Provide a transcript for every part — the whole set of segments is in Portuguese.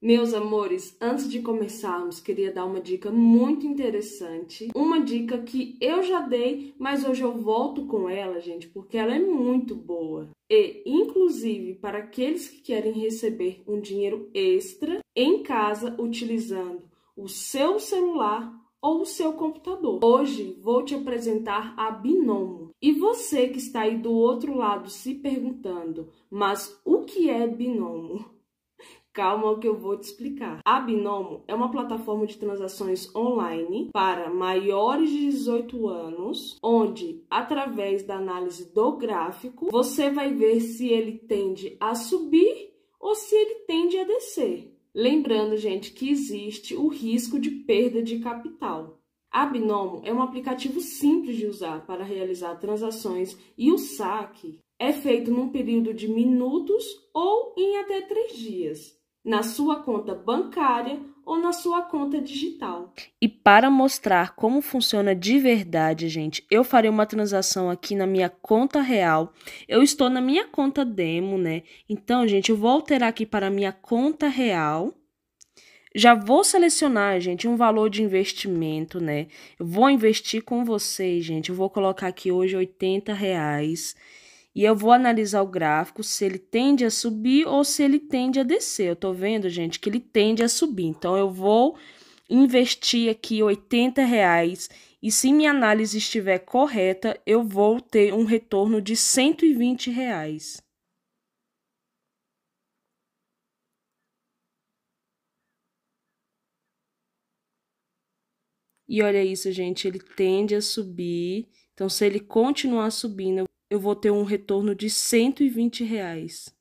Meus amores, antes de começarmos, queria dar uma dica muito interessante. Uma dica que eu já dei, mas hoje eu volto com ela, gente, porque ela é muito boa. E, inclusive, para aqueles que querem receber um dinheiro extra em casa utilizando o seu celular ou o seu computador. Hoje vou te apresentar a Binomo. E você que está aí do outro lado se perguntando mas o que é Binomo? Calma que eu vou te explicar. A Binomo é uma plataforma de transações online para maiores de 18 anos, onde, através da análise do gráfico, você vai ver se ele tende a subir ou se ele tende a descer. Lembrando, gente, que existe o risco de perda de capital. A Binomo é um aplicativo simples de usar para realizar transações e o saque é feito num período de minutos ou em até três dias, na sua conta bancária ou na sua conta digital. E para mostrar como funciona de verdade, gente, eu farei uma transação aqui na minha conta real. Eu estou na minha conta demo, né? Então, gente, eu vou alterar aqui para minha conta real. Já vou selecionar, gente, um valor de investimento, né? Eu vou investir com vocês, gente. Eu vou colocar aqui hoje 80 reais. E eu vou analisar o gráfico se ele tende a subir ou se ele tende a descer. Eu estou vendo, gente, que ele tende a subir. Então, eu vou investir aqui 80 reais e se minha análise estiver correta, eu vou ter um retorno de 120 reais. E olha isso, gente, ele tende a subir. Então, se ele continuar subindo, eu vou ter um retorno de cento e vinte reais.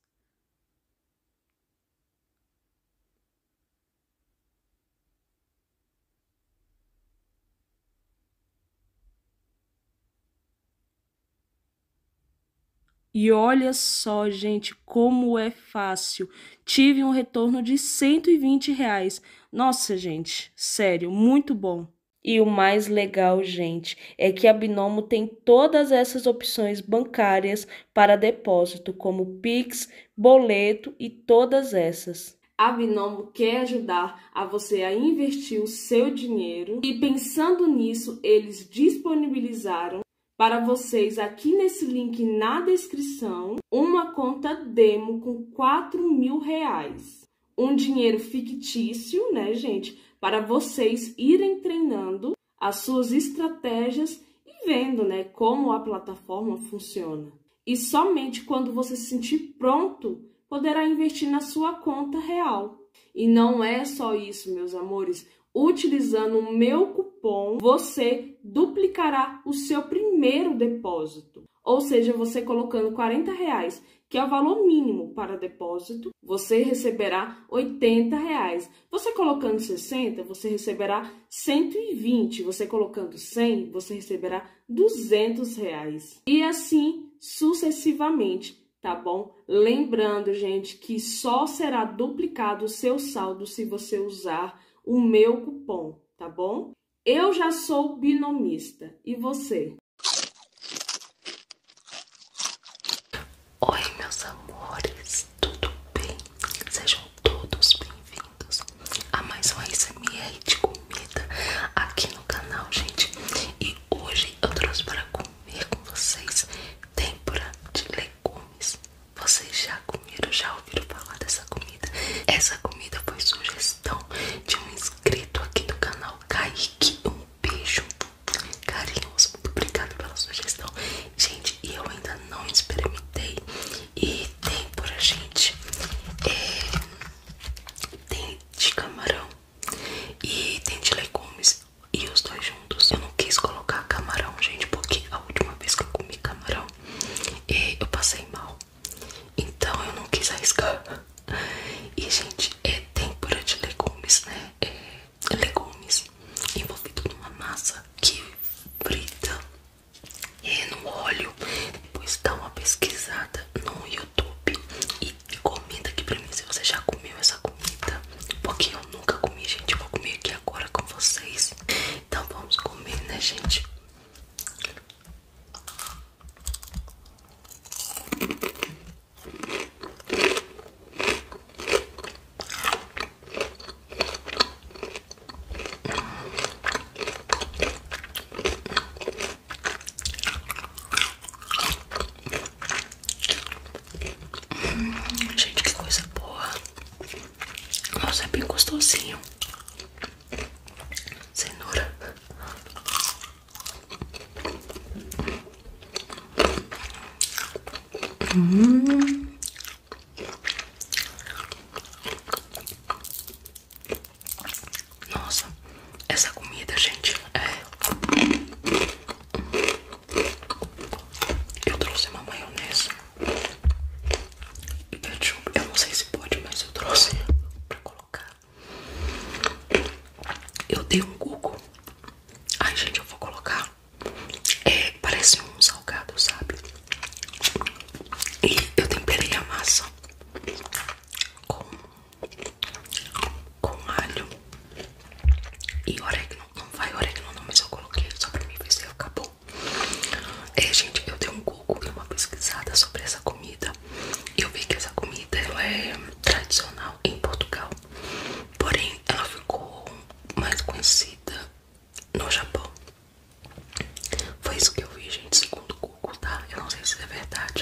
E olha só, gente, como é fácil. Tive um retorno de 120 reais. Nossa, gente, sério, muito bom. E o mais legal, gente, é que a Binomo tem todas essas opções bancárias para depósito, como Pix, boleto e todas essas. A Binomo quer ajudar a você a investir o seu dinheiro e pensando nisso, eles disponibilizaram para vocês aqui nesse link na descrição uma conta demo com quatro mil reais. Um dinheiro fictício, né, gente? Para vocês irem treinando as suas estratégias e vendo, né, como a plataforma funciona. E somente quando você se sentir pronto, poderá investir na sua conta real. E não é só isso, meus amores. Utilizando o meu cupom, você duplicará o seu primeiro depósito. Ou seja, você colocando 40 reais, que é o valor mínimo para depósito, você receberá 80 reais. Você colocando 60, você receberá 120. Você colocando 100, você receberá 200 reais. E assim sucessivamente tá bom? Lembrando, gente, que só será duplicado o seu saldo se você usar o meu cupom, tá bom? Eu já sou binomista, e você? Oi, meus amores, tudo bem? Sejam todos bem-vindos a mais um ASMR de comida aqui no canal, gente. E hoje eu trouxe para comer comer com vocês têmpora de legumes. Vocês já comeram, já ouviram falar dessa comida? Essa comida foi sugestão de um inscrito aqui do canal, Kaique. Um beijo carinhoso, muito obrigado pela sugestão. Gente, e eu ainda não experimentei. E tem gente, é, tem de camarão e tem de legumes e os dois juntos. Eu não quis colocar camarão, gente, porque a última vez que eu comi camarão eu passei mal. Então eu não quis arriscar. E, gente, é tempura de legumes, né? É legumes envolvido numa massa que frita é no óleo. Depois dá uma pesquisada no YouTube e, e comenta aqui pra mim se você já comeu essa comida Porque eu nunca comi, gente, vou comer aqui agora com vocês Então vamos comer, né, gente? Hum, gente, que coisa boa. Nossa, é bem gostosinho. Cenoura. Hum. Nossa, essa comida, gente, é eu trouxe uma maionese e ketchup. Eu não sei se pode, mas eu trouxe pra colocar. Eu dei um Google. Ai, gente, eu vou colocar. É, parece um salgado, sabe? E eu temperei a massa com, com alho e orégano, não vai orégano não, mas eu coloquei só pra mim ver se acabou. É, gente, eu dei um Google e uma pesquisada sobre essa comida. Eu vi que essa comida é tradicional em Portugal, porém ela ficou mais conhecida no Japão. Foi isso que eu vi, gente, segundo o Google, tá? Eu não sei se é verdade.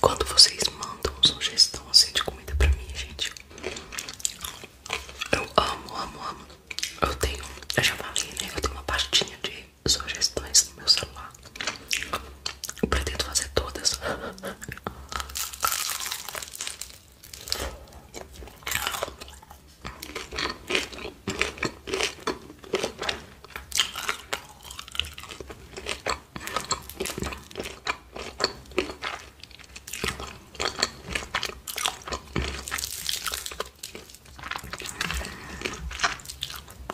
Quando vocês mandam sugestão assim de comida pra mim, gente, eu amo, amo, amo. Eu tenho, eu já falei, né? Eu tenho uma pastinha de sugestões no meu celular. Eu pretendo fazer todas.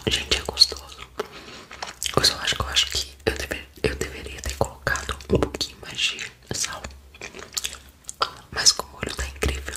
Gente, é gostoso. Eu só acho que eu acho que eu, deveria ter colocado um pouquinho mais de sal. Mas com o olho está incrível.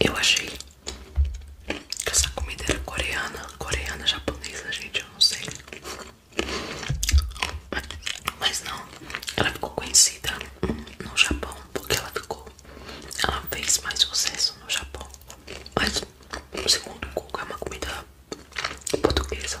Eu achei que essa comida era coreana, coreana, japonesa, gente, eu não sei. Mas não, ela ficou conhecida no Japão, porque ela ficou, ela fez mais sucesso no Japão. Mas, segundo Google, é uma comida portuguesa.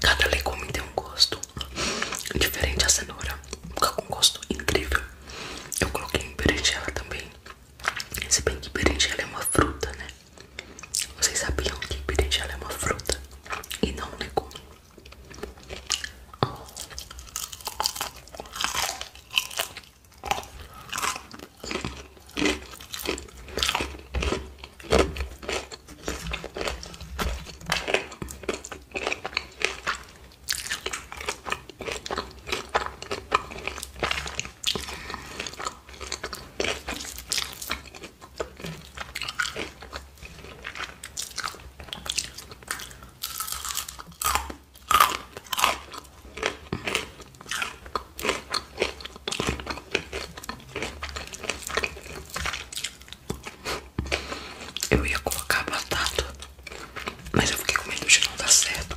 Cada legume tem um gosto diferente. A cenoura fica com um gosto incrível. Eu coloquei em berinjela também. Se bem que berinjela é uma fruta, né? Vocês sabiam que berinjela é uma fruta e não um legume? Eu ia colocar batata, mas eu fiquei com medo de não dar certo.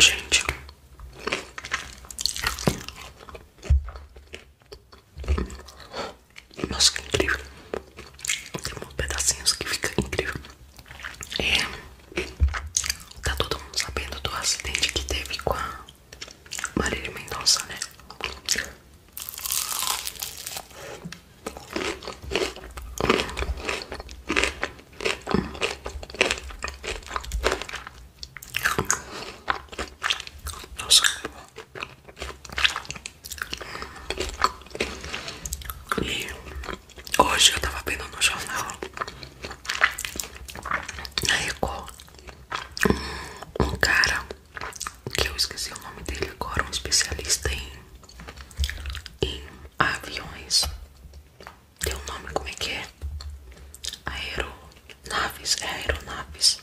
Gente, nossa, que incrível! Tem uns pedacinhos que fica incrível. É, tá todo mundo sabendo do acidente que teve com a Marília Mendonça, né? Nossa, E hoje eu estava vendo no jornal aí co um cara que eu esqueci o nome dele agora, um especialista em, aviões. Tem o nome como é que é? Aeronaves, é aeronaves.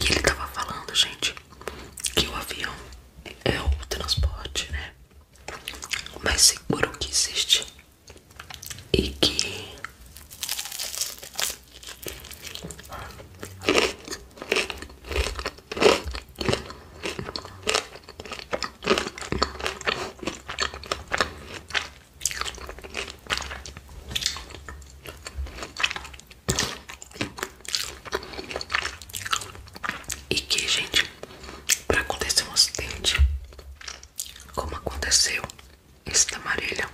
e ele tava falando, gente, que o avião é o transporte, né? Mais seguro que existe e que e que gente para acontecer um acidente como aconteceu esse da Marília,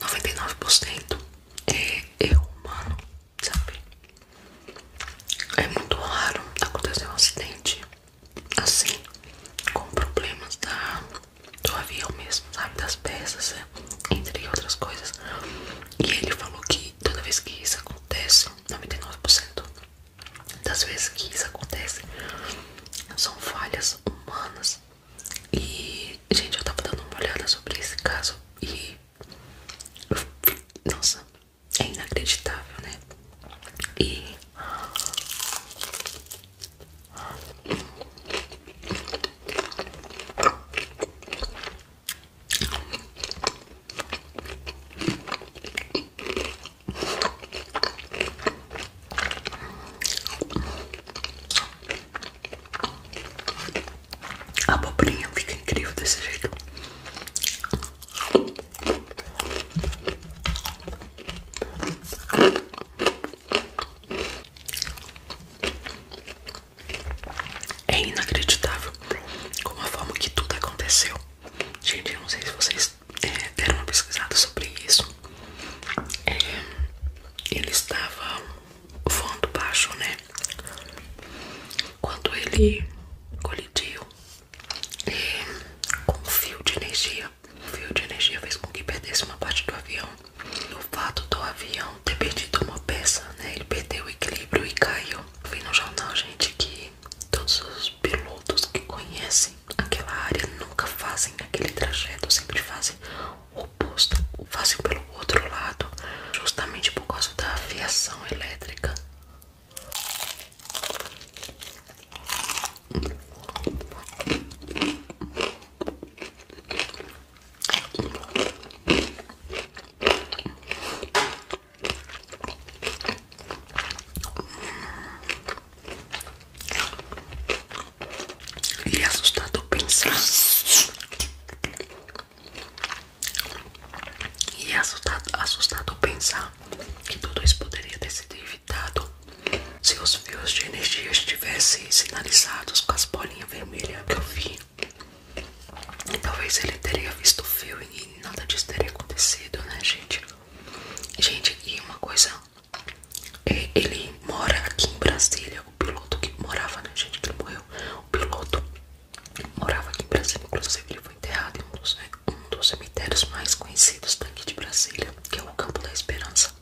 99% é erro é humano, sabe? É muito raro acontecer um acidente assim, com problemas da, do avião mesmo, sabe? Das peças, é, entre outras coisas. E ele falou que toda vez que isso acontece, 99% das vezes que isso acontece são falhas humanas. E, gente, eu tava dando uma olhada sobre esse caso e. Nossa, é inacreditável, né? E. A abobrinha fica incrível desse jeito. É inacreditável como a forma que tudo aconteceu. Gente, eu não sei se vocês deram é, uma pesquisada sobre isso. É, ele estava voando baixo, né? Quando ele colidiu é, com um fio de energia, o fio de energia fez com que perdesse uma parte do avião. E o fato do avião ter perdido uma peça, né? Ele perdeu o equilíbrio e caiu. Eu vi no jornal, gente, que todos os pilotos que conhecem aquela área nunca fazem aquele trajeto, sempre fazem o oposto, fazem pelo outro lado, justamente por causa da aviação elétrica. E é assustador pensar. E é assustado, assustador pensar que tudo isso poderia ter sido evitado se os fios de energia estivessem sinalizados com as bolinhas vermelhas que eu vi. e Talvez ele teria visto o fio e nada disso teria acontecido, né, gente? Gente, e uma coisa, é, ele mora aqui em Brasília, o piloto que morava, né, gente, que ele morreu, o piloto morava aqui em Brasília, inclusive ele foi enterrado em um dos, um dos cemitérios mais conhecidos daqui de Brasília, que é o Campo da Esperança.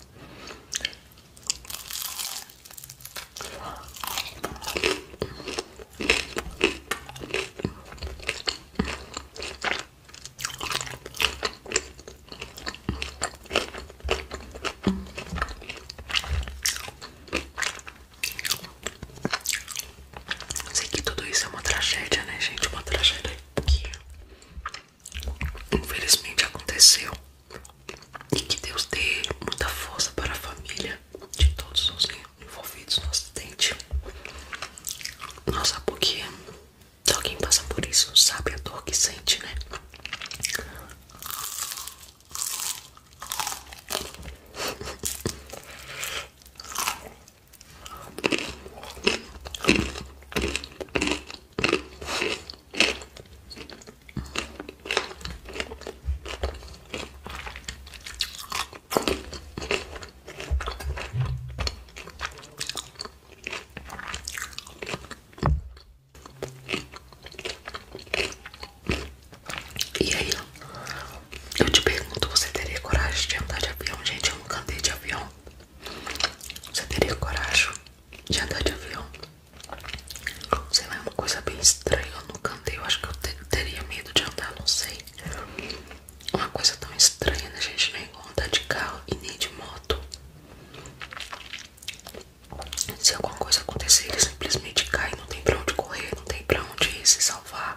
Sei que tudo isso é uma tragédia, né, gente? Uma tragédia que infelizmente aconteceu. E que Deus dê muita força para a família de todos os envolvidos no acidente. Nossa, porque só quem passa por isso sabe a dor que sente, né? E aí, eu te pergunto: você teria coragem de andar de avião? Gente, eu nunca andei de avião. Você teria coragem de andar de avião? Sei lá, é uma coisa bem estranha. Eu nunca andei, eu acho que eu teria medo de andar, não sei. Uma coisa tão estranha, né, gente? Nem é andar de carro e nem de moto. Se alguma coisa acontecer, ele simplesmente cai, não tem pra onde correr, não tem pra onde se salvar.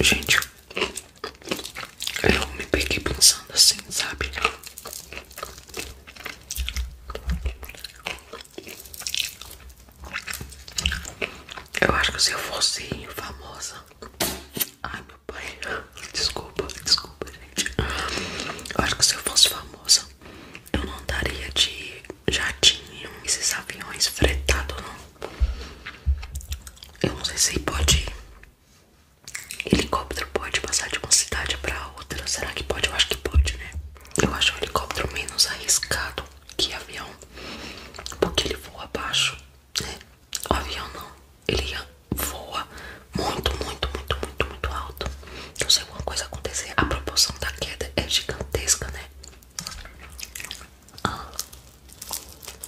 Gente, eu me peguei pensando assim, sabe? Eu acho que se eu fosse famosa. Ai meu pai, desculpa, desculpa, gente. Eu acho que se eu fosse famosa, eu não andaria de jatinho, esses aviões fretados, não. Eu não sei se pode Helicóptero pode passar de uma cidade para outra? Será que pode? Eu acho que pode, né? Eu acho o helicóptero menos arriscado que avião, porque ele voa abaixo, né? avião não, ele voa muito, muito, muito, muito, muito alto. Então, se alguma coisa acontecer, a proporção da queda é gigantesca, né? Ah.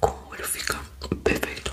Com o olho fica perfeito.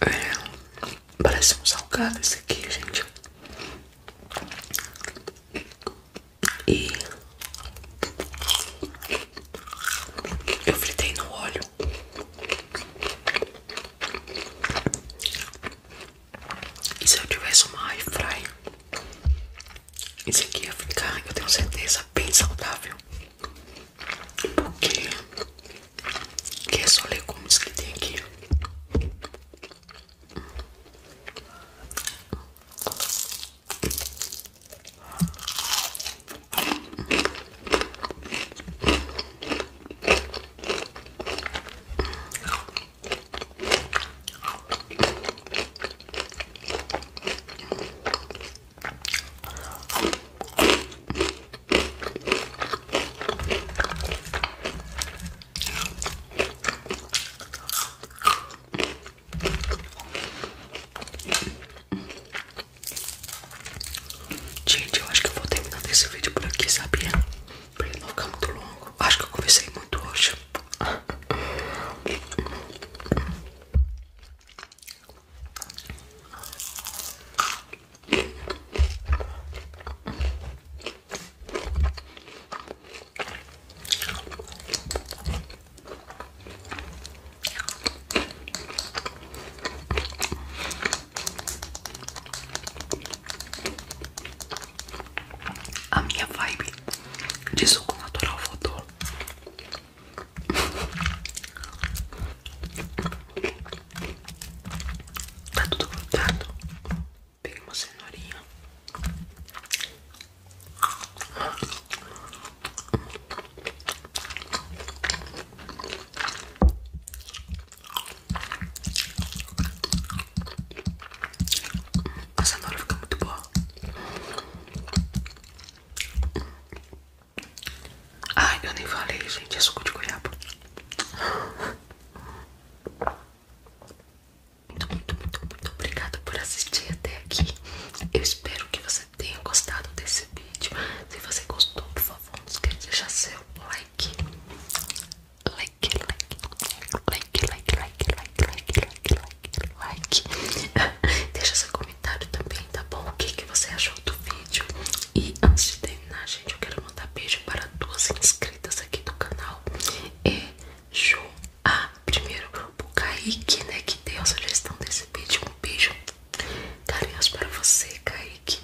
É, parece um salgado esse aqui, gente. E eu fritei no óleo. E se eu tivesse uma air fry, isso aqui ia ficar, eu tenho certeza, bem saudável. Porque que é só legumes que tem aqui. Gente, eu acho que vou terminando esse vídeo por aqui, sabia? pra não ficar muito longo. Acho que eu conversei muito hoje. A minha vibe de suco natural Tá tudo grudado. Peguei uma a cenoura fica muito boa. Ai, eu nem falei, gente. É suco de goiaba. Muito, muito, muito, muito obrigada por assistir até aqui. Eu espero que você tenha gostado desse vídeo. Se você gostou, por favor, não esqueça de deixar seu like like, like, like, like, like, like, like, like, like, like. Deixa seu comentário também, tá bom? O que, que você achou do vídeo? E antes de terminar, gente, eu quero mandar beijo para duas inscritas aqui do canal. É Ju A. Primeiro, o Kaique, né? Que deu a sugestão desse vídeo. Um beijo carinhoso para você, Kaique.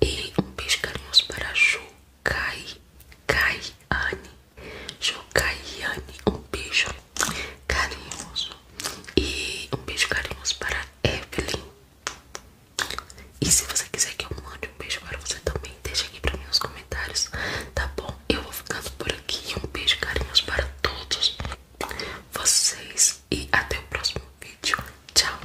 E um beijo carinhoso para a Jokai Kaiane. um beijo carinhoso. E um beijo carinhoso para a Evelyn. E se você quiser que eu mande um beijo para você também, deixa aqui para mim nos comentários, tá bom? Eu vou ficando por aqui. Um beijo carinhoso para todos vocês e até o próximo vídeo. Tchau!